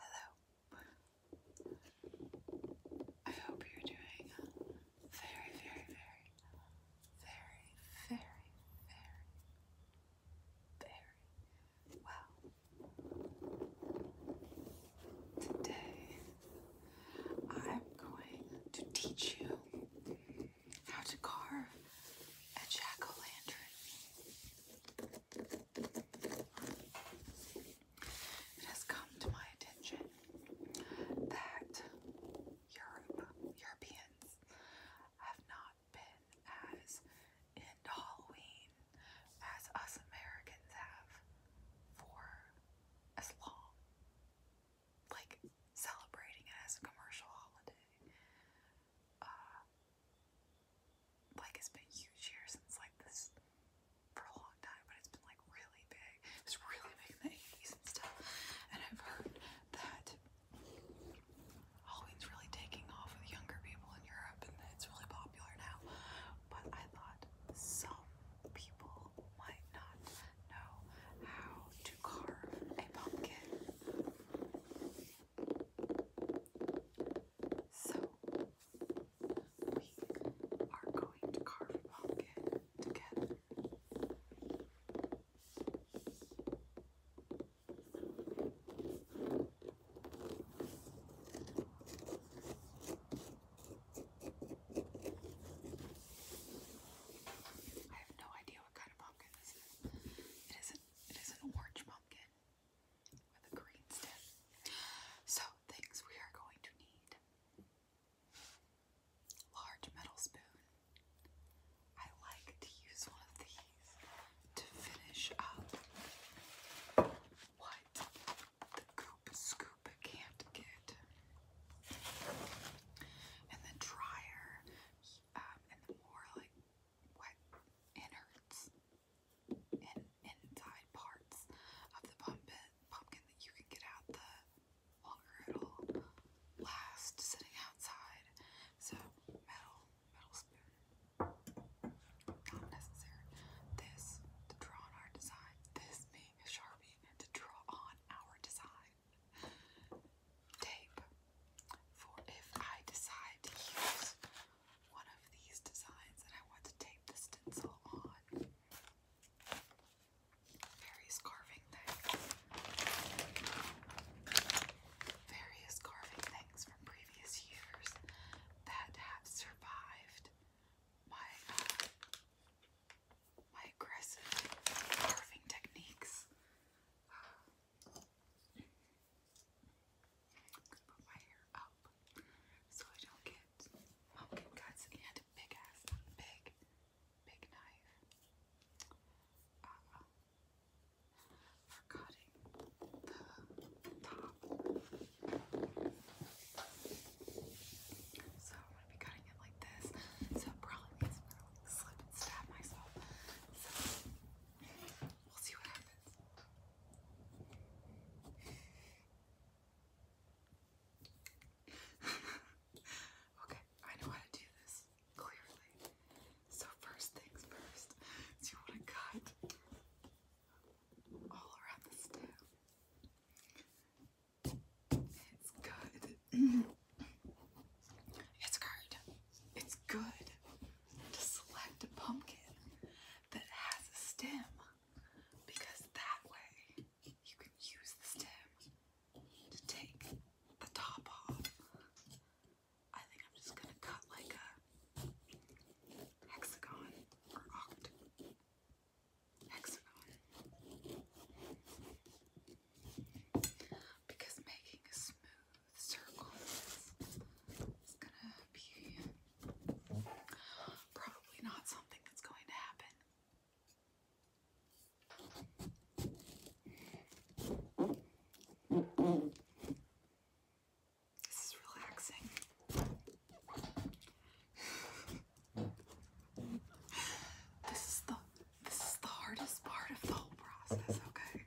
Hello. I hope you're doing very, very, very, very, very, very, well. Today, I'm going to teach you how to carve a jack o' lantern. It has come to my attention that Europe, Europeans have not been as into Halloween as us Americans have for as long. Like celebrating it as a commercial holiday uh, like it's been huge here since like this for a long time, but it's been like really big. It's really big in the 80s and stuff. And I've heard that Halloween's really taking off with younger people in Europe and that it's really popular now. But I thought some people might not know how to carve a pumpkin. So, we are going to carve a pumpkin together. I have no idea what kind of pumpkin this is. It is an, an orange pumpkin. So, things we are going to need large metal spoon. I like to use one of these to finish up what the goop scoop can't get. And the dryer um, and the more like wet innards in, inside parts of the pumpkin, pumpkin that you can get out the longer it'll last sitting outside. So metal, metal spoon, not necessary. This to draw on our design. This being a sharpie to draw on our design. Tape. For if I decide to use one of these designs that I want to tape the stencil on. Various carving things. Various carving things from previous years that have survived my uh, my aggressive carving techniques. Uh, I'm gonna put my hair up so I don't get pumpkin cuts and a big ass, big, big knife uh, for cutting the top. So I'm gonna be cutting it like this. So it probably means gonna slip and stab myself. So we'll see what happens. okay, I know how to do this clearly. So, first things first, so you want to cut all around the stem. It's good. it's curd. It's good to select a pumpkin that has a stem because that way you can use the stem to take the top off. I think I'm just gonna cut like a hexagon or octagon, hexagon because making a smooth circles. It's gonna be probably not something that's going to happen. This is relaxing. this is the this is the hardest part of the whole process, okay?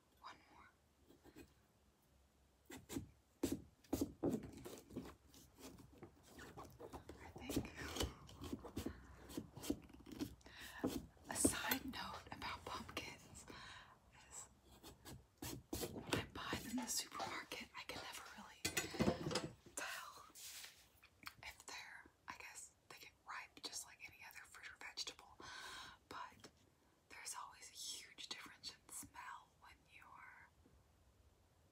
One more. I think. A side note about pumpkins I buy them in the supermarket, I can never really tell if they're, I guess, they get ripe just like any other fruit or vegetable. But there's always a huge difference in smell when you're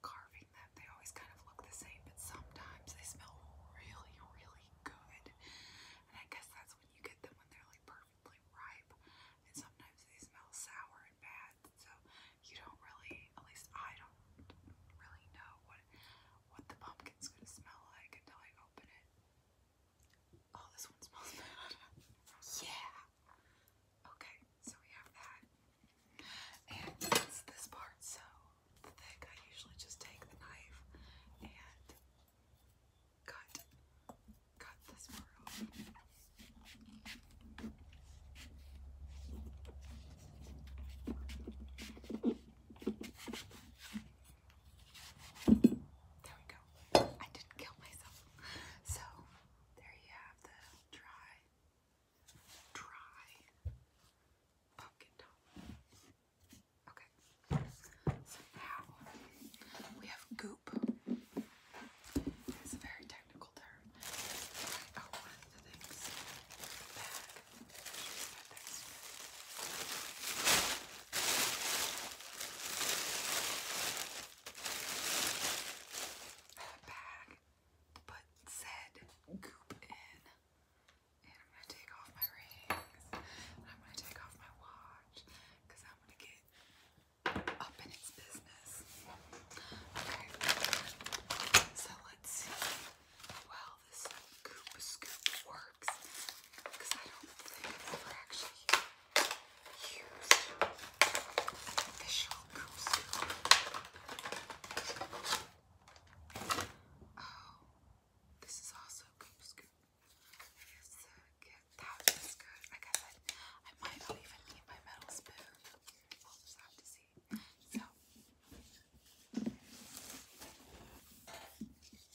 carving them. They always kind of look the same, but sometimes they smell really, really good. And I guess that's when you get them when they're like perfectly ripe. And sometimes they smell sour and bad, so you don't really, at least I don't really know what what the pumpkin's gonna smell like until I open it. Oh, this one smells bad. yeah. Okay, so we have that. And since this part's so thick, I usually just take the knife and cut cut this part off. There we go. I didn't kill myself. So there you have the dry, dry pumpkin top. Okay. So now we have goop. It's a very technical term. I bag, put said goop in, and I'm gonna take off my rings, I'm gonna take off my watch, I'm gonna get up in its business. Okay, so let's see. Well, this goop scoop works because I don't think we've actually used an official scoop. Oh, this is also scoop. It's the uh, that is good. I guess I might not even need my metal spoon. We'll just have to see. So.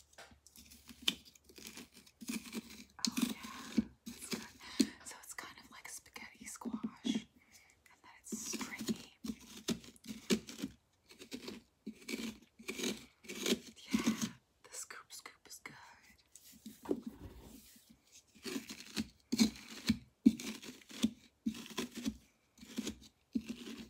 Oh yeah, So it's kind of like spaghetti squash, and then it's stringy. Yeah, the scoop scoop is good.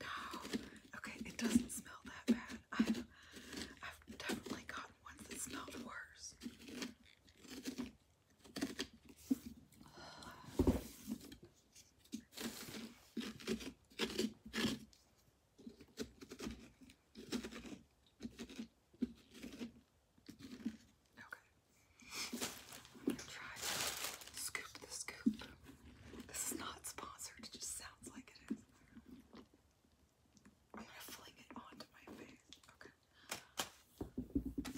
No. Okay, it doesn't smell that bad. I've, definitely gotten ones that smell worse. Okay try to scoop the scoop. This is not sponsored, it just sounds like it is. I'm gonna fling it onto my face. Okay.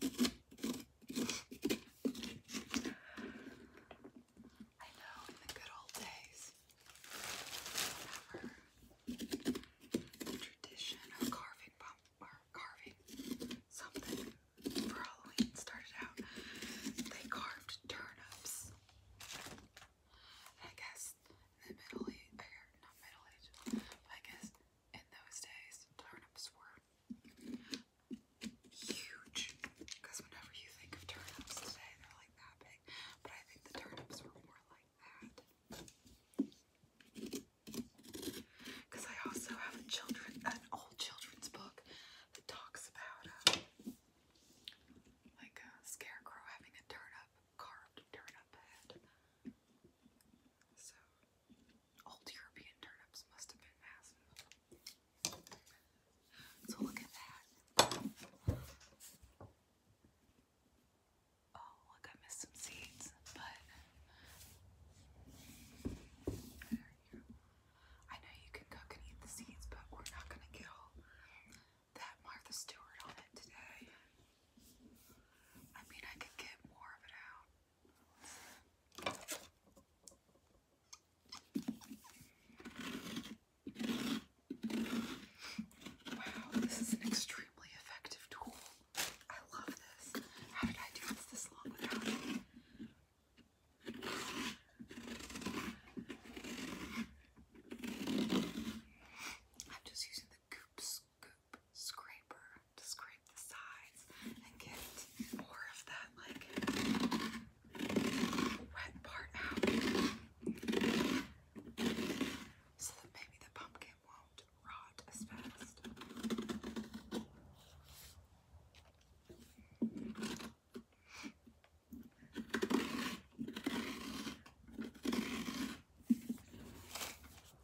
I know in the good old days, whatever tradition of carving something for Halloween started out, they carved turnips. I guess in the Middle Ages, er, not Middle Ages, I guess in those days turnips were huge. Because whenever you think of turnips today, they're like that big. But I think the turnips were more like that. Because I also have a children, an old children's book that talks about um, like a scarecrow having a turnip, carved turnip head. So old European turnips must have been massive. So look at that. Oh, look, I missed some seeds, but I know you can cook and eat the seeds, but we're not gonna get all that Martha Stewart on it today. I mean, I could get more of it out, Wow, this is an extremely effective tool. I love this. How did I do this this long without it? I'm just using the Goop Scoop Scraper scrape the sides and get more of that like wet part out so that maybe the pumpkin won't rot as fast.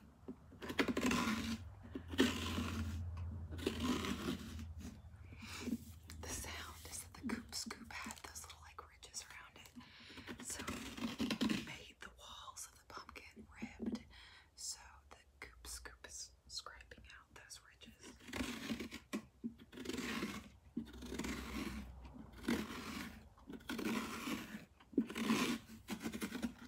The sound is that the scoop had those little like ridges around it. So it made the walls of the pumpkin ribbed. So the goop scoop is scraping out those ridges.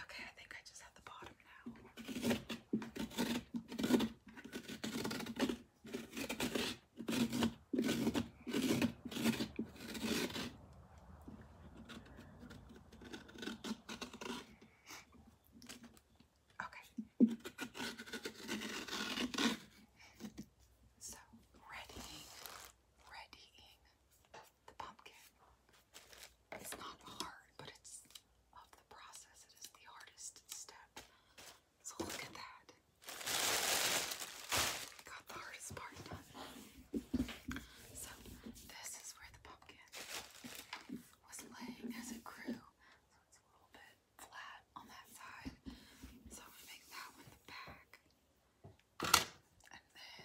Okay, I think I just have the bottom now. Okay. So readying, readying the pumpkin. It's not hard, but it's of the process. It is the hardest step. So look at that. got the hardest part done. So this is where the pumpkin was laying as it grew. So it's a little bit flat on that side. So i make that one the back. And then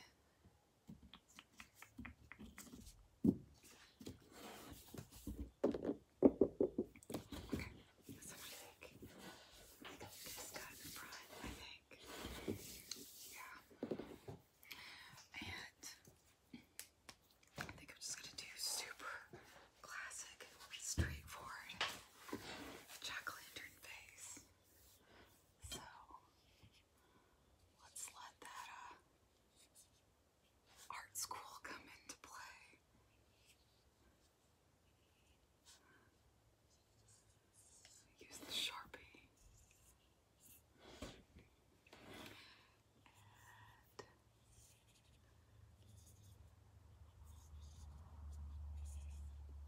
so I think I got in front, I think. Yeah. And I think I'm just gonna do super classic, straightforward jack lantern face. So Let's let that uh, art school come into play. Use the Sharpie.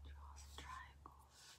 Draw some triangles.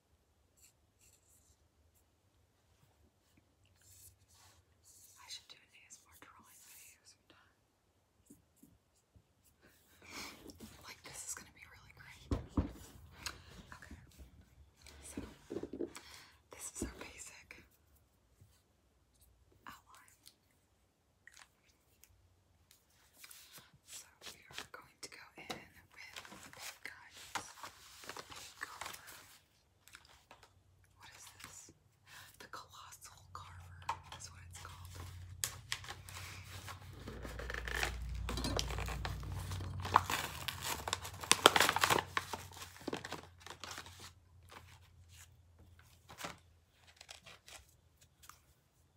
I should do a an more drawing video sometime. like, this is gonna be really great. Okay, so this is our basic outline. So we are going to go in with the pig guys. The pig carver. What is this? The colossal carver is what it's called.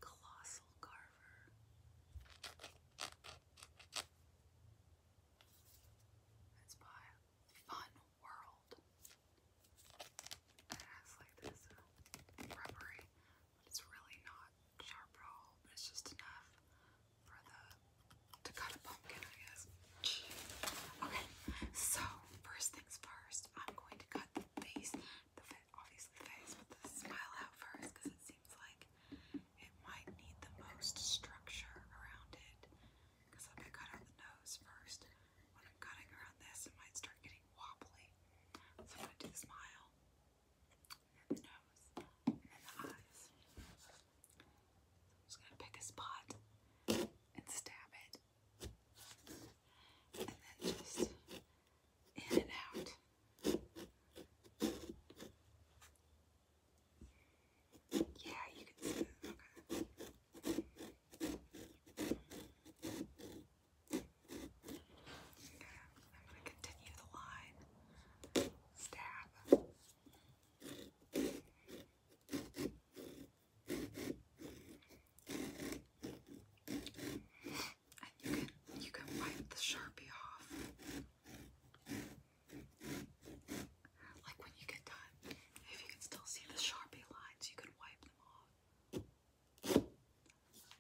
Colossal Carver. It's by Fun World. It has like this uh, rubbery, but it's really not sharp at all, but it's just enough for the to cut a pumpkin, I guess. Okay, so first things first, I'm going to cut the base, obviously face, but the smile out first because it seems like it might need the most structure around it. Because if I cut out the nose first, when I'm cutting around this, it might start getting wobbly. So I'm going to do the smile, nose, and the eyes. So I'm just going to pick a spot and stab it. And then just in and out. Yeah, you can see Okay, I'm going to continue the line. Stab and you can you can wipe the sharpie off. Like when you get done, if you can still see the sharpie lines, you can wipe them off.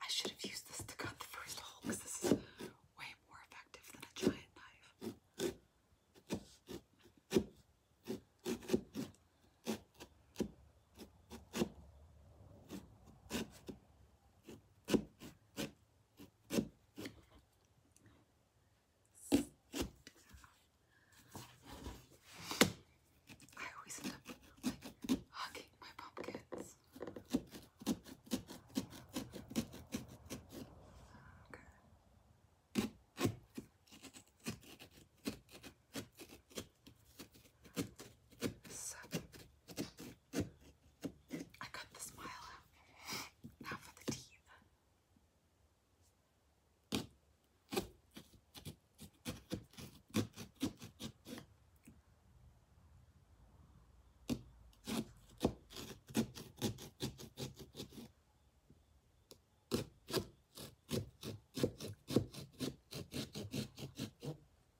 I should have used this to cut the first hole because this is way more effective than a giant knife. I always end up like hugging my pumpkins. Okay. Some I cut the smile out. Now for the teeth.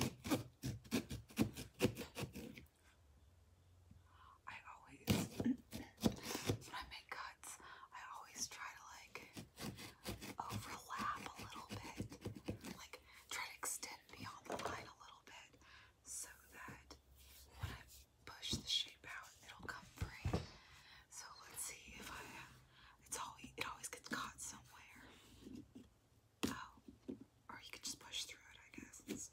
I always, when I make cuts, I always try to like overlap a little bit, like try to extend beyond the line a little bit so that when I push the shape out, it'll come free. So let's see if I, it's always, it always gets caught somewhere. Oh, or you could just push through it, I guess.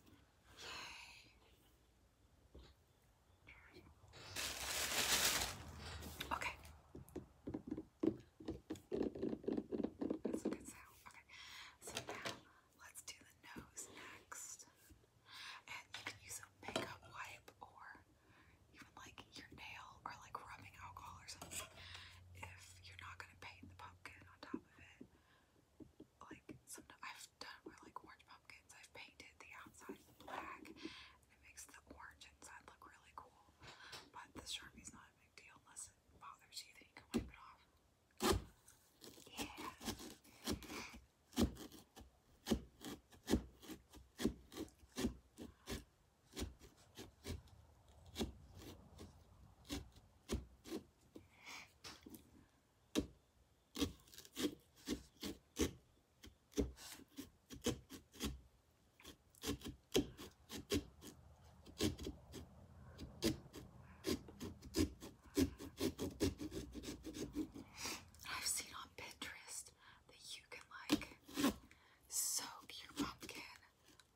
yay. Okay. That's a good sound. Okay. So now let's do the nose next. And you can use a makeup wipe or even like your nail or like rubbing alcohol or something if you're not gonna paint the pumpkin on top like sometimes I've done like orange pumpkins. I've painted the outside black and it makes the orange inside look really cool. But the Sharpie's not a big deal unless it bothers you, then you can wipe it off. Yeah. I've seen on Pinterest that you can like soak your pumpkin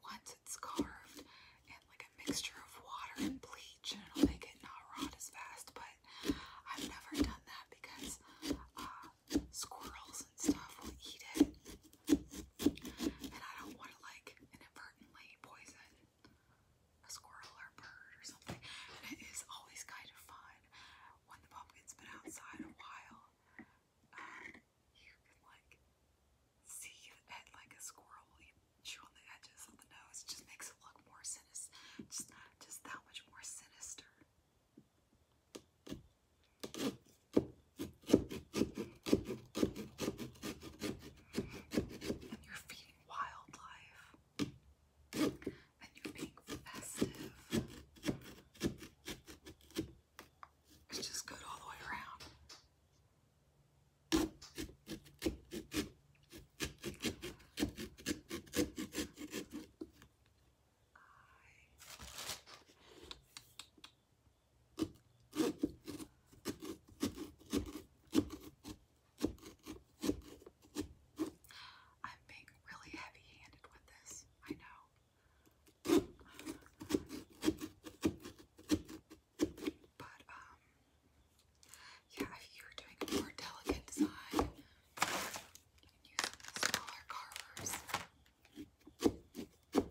once it's carved and like a mixture of water and bleach, and it'll make it not rot as fast. But I've never done that because uh, squirrels and stuff will eat it, and I don't want to like inadvertently poison a squirrel or bird or something. And it is always kind of fun when the pumpkin's been outside a while. Um, you can like see your head like a squirrel. You chew on the edges of the nose. It just makes it look more sinister. Just, just that much more sinister. you're feeding wildlife. And you're being festive. It's just good all the way around. I'm being really heavy handed with this, I know. But um yeah, if you're doing a more delicate design, you can use smaller carvers. There we go.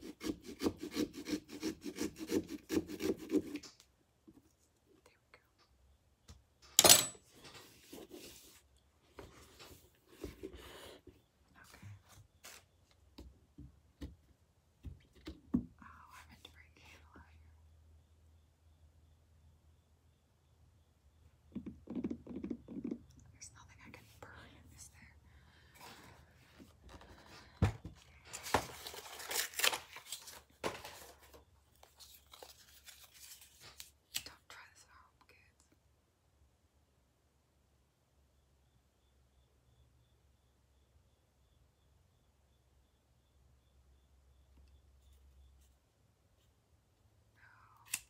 Okay. Oh, I meant to bring candle out here. There's nothing I can burn, is there? Don't try this at home, kids. Oh,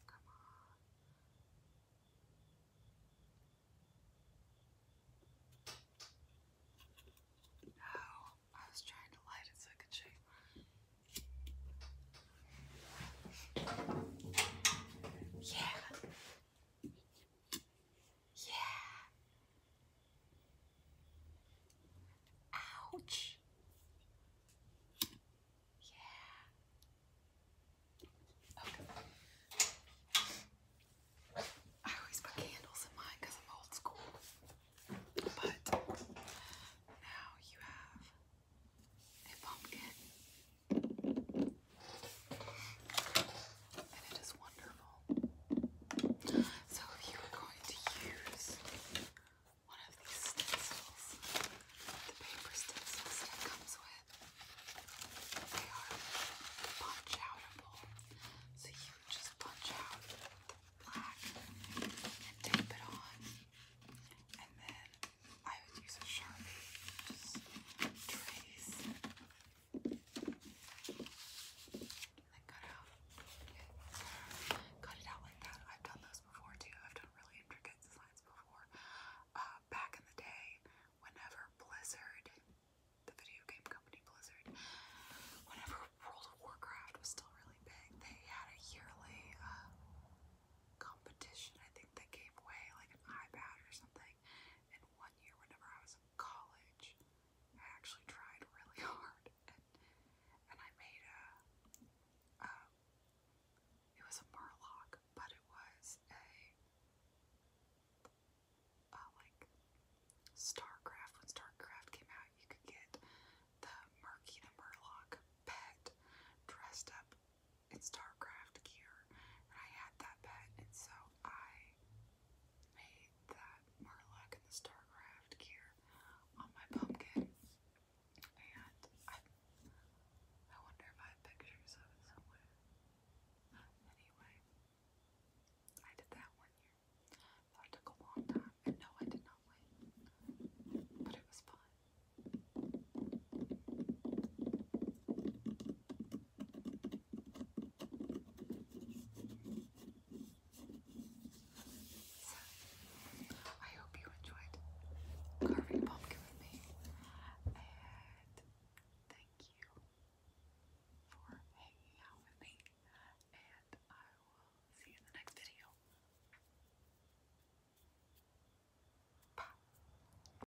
come on. No, I was trying to light it so I could shave. Yeah. Yeah. Ouch. Yeah. Okay. I always put candles in mine I'm old school. But now you have a pumpkin and it is wonderful. So if you are going to use one of these stencils, the paper stencils that comes with, they are punch So you just punch out the black and tape it on. And then I would use a sharpie, just trace cut it out like that. I've done those before too. I've done really intricate designs before. Uh, back in the day, whenever Blizzard, the video game company Blizzard, whenever World of Warcraft was still really big, they had a yearly uh, competition. I think they gave away like an iPad or something. And one year, whenever I was in college, I actually tried really hard, and I made a. it was a murloc, but it was a, a like Starcraft. When Starcraft came out, you could get the Murky Murloc pet dressed up it's StarCraft gear, and I had that pet, and so I made that Marlock and the StarCraft gear on my pumpkin, and I, I wonder if I have pictures of it somewhere. Anyway, I did that one year. That took a long time, and no, I did not win, but it was fun. So, I hope you enjoyed carving pumpkin with me, and thank you for hanging out with me, and I will see you in the next video. Bye.